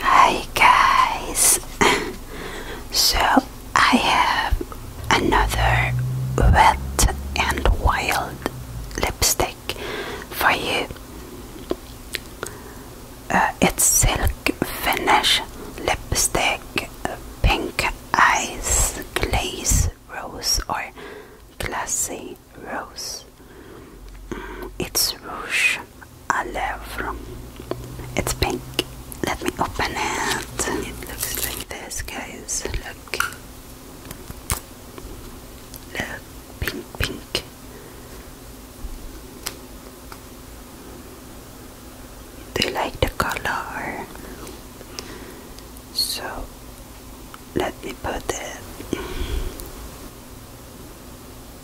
Hi guys! so I have another wet and wild lipstick for you. Uh, it's silk finish lipstick, pink eyes, glaze rose or glassy rose. It's Rouge à Lèvres. It's pink. Let me open it. It looks like this, guys. Look. Look. Pink, pink. Do you like the color? So, let me put it.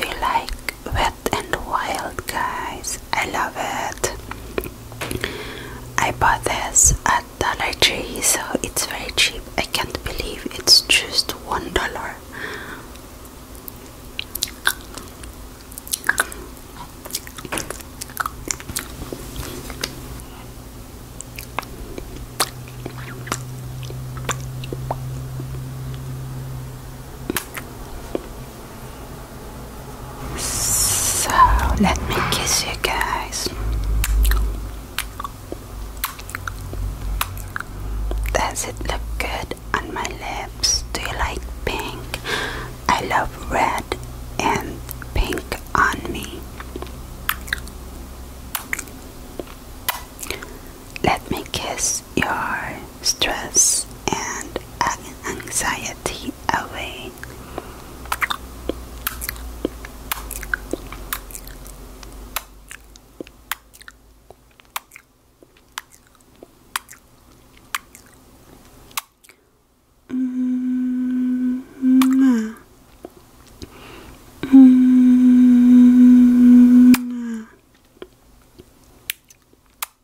Do you like when and wild, guys. I love it. I bought this at Dollar Tree, so it's very cheap. I can't believe it's just one dollar. So let me kiss you guys. Does it look good on my lips? Do you like pink? I love red and pink on me. Let me kiss your stress and anxiety away. -hmm. -hmm.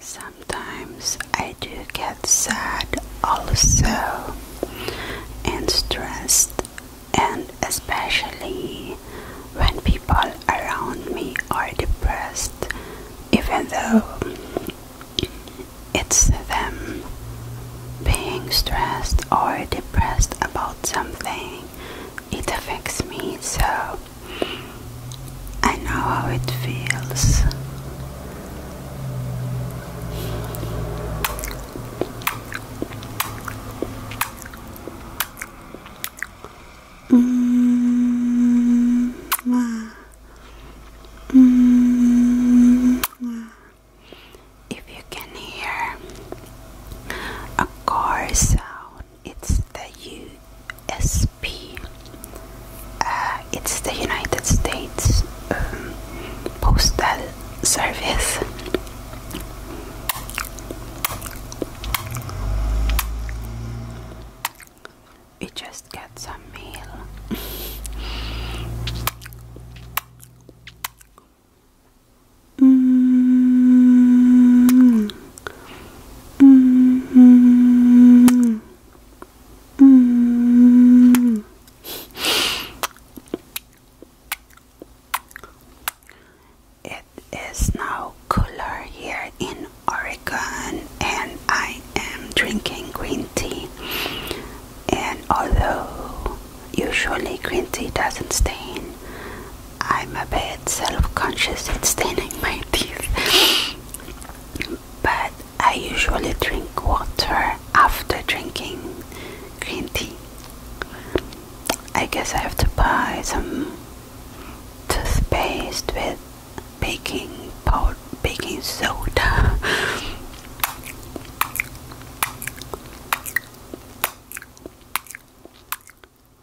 Sometimes I do get sad also and stressed, and especially when people around me are depressed, even though it's them being stressed or depressed about something it affects me, so I know how it feels. -hmm. Mm -hmm. If you can hear a car sound, it's the USP. Uh, it's the United States um, Postal Service. We just got some mail. -hmm. -hmm. -hmm. It is now cooler here in Oregon, and I am drinking green tea. And although usually green tea doesn't stain, I'm a bit self-conscious at staining my teeth but I usually drink water after drinking green tea. I guess I have to buy some toothpaste with baking powder, baking soda.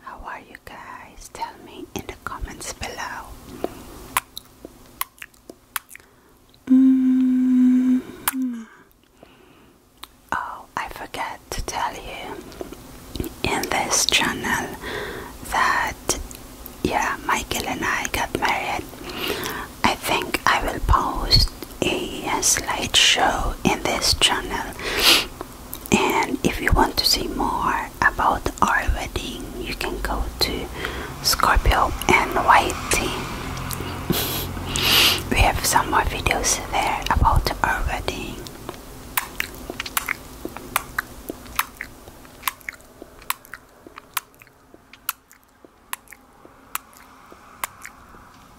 How are you guys? Tell me in the comments below. Mm-hmm. Oh, I forgot to tell you in this channel that yeah, Michael and I got married. I think I will post a slideshow in this channel and if you want to see more about our wedding you can go to Scorpio N Y T. we have some more videos there about our wedding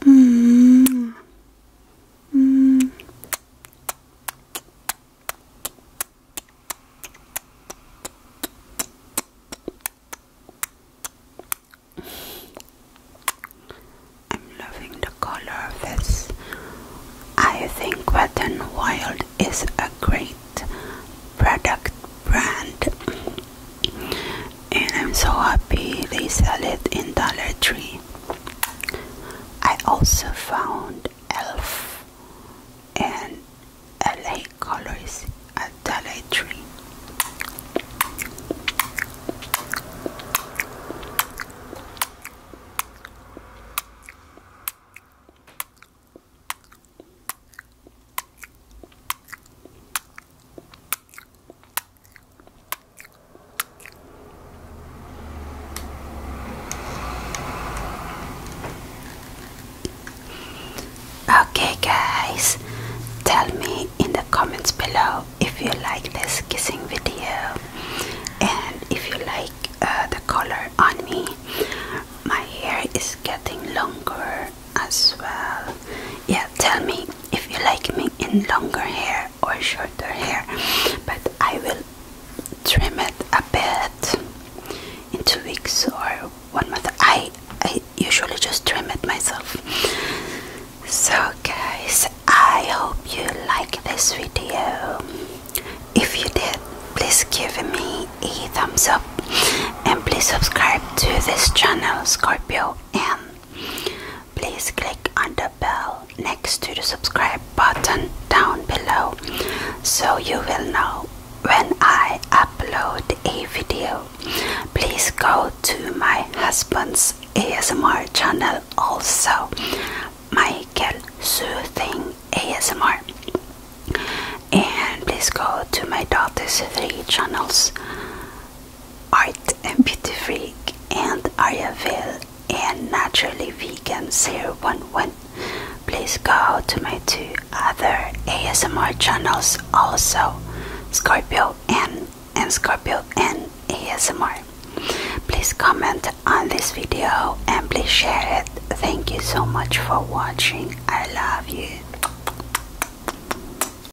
I'm loving the color of this. I think Wet and Wild is a great product brand and I'm so happy they sell it in Dollar Tree. I also found Elf and LA Colors at Dollar Tree. Okay, guys, tell me in the comments below if you like this kissing video and if you like uh, the color on me. My hair is getting longer as well. Yeah, tell me if you like me in longer hair or shorter hair, but I will trim it a bit in two weeks or one month. I I usually just trim it myself. So guys, I hope you like this video. If you did, please give me a thumbs up and please subscribe to this channel Scorpio and Please click on the bell next to the subscribe button down below so you will know when I upload a video. Please go to my husband's ASMR channel also, Michael Soothing ASMR. And please go to my daughter's three channels Art and Beauty Freak and Ariaville and Naturally Vegan 011. Please go to my two other ASMR channels also, Scorpio N and Scorpio N ASMR. Please comment on this video and please share it. Thank you so much for watching. I love you.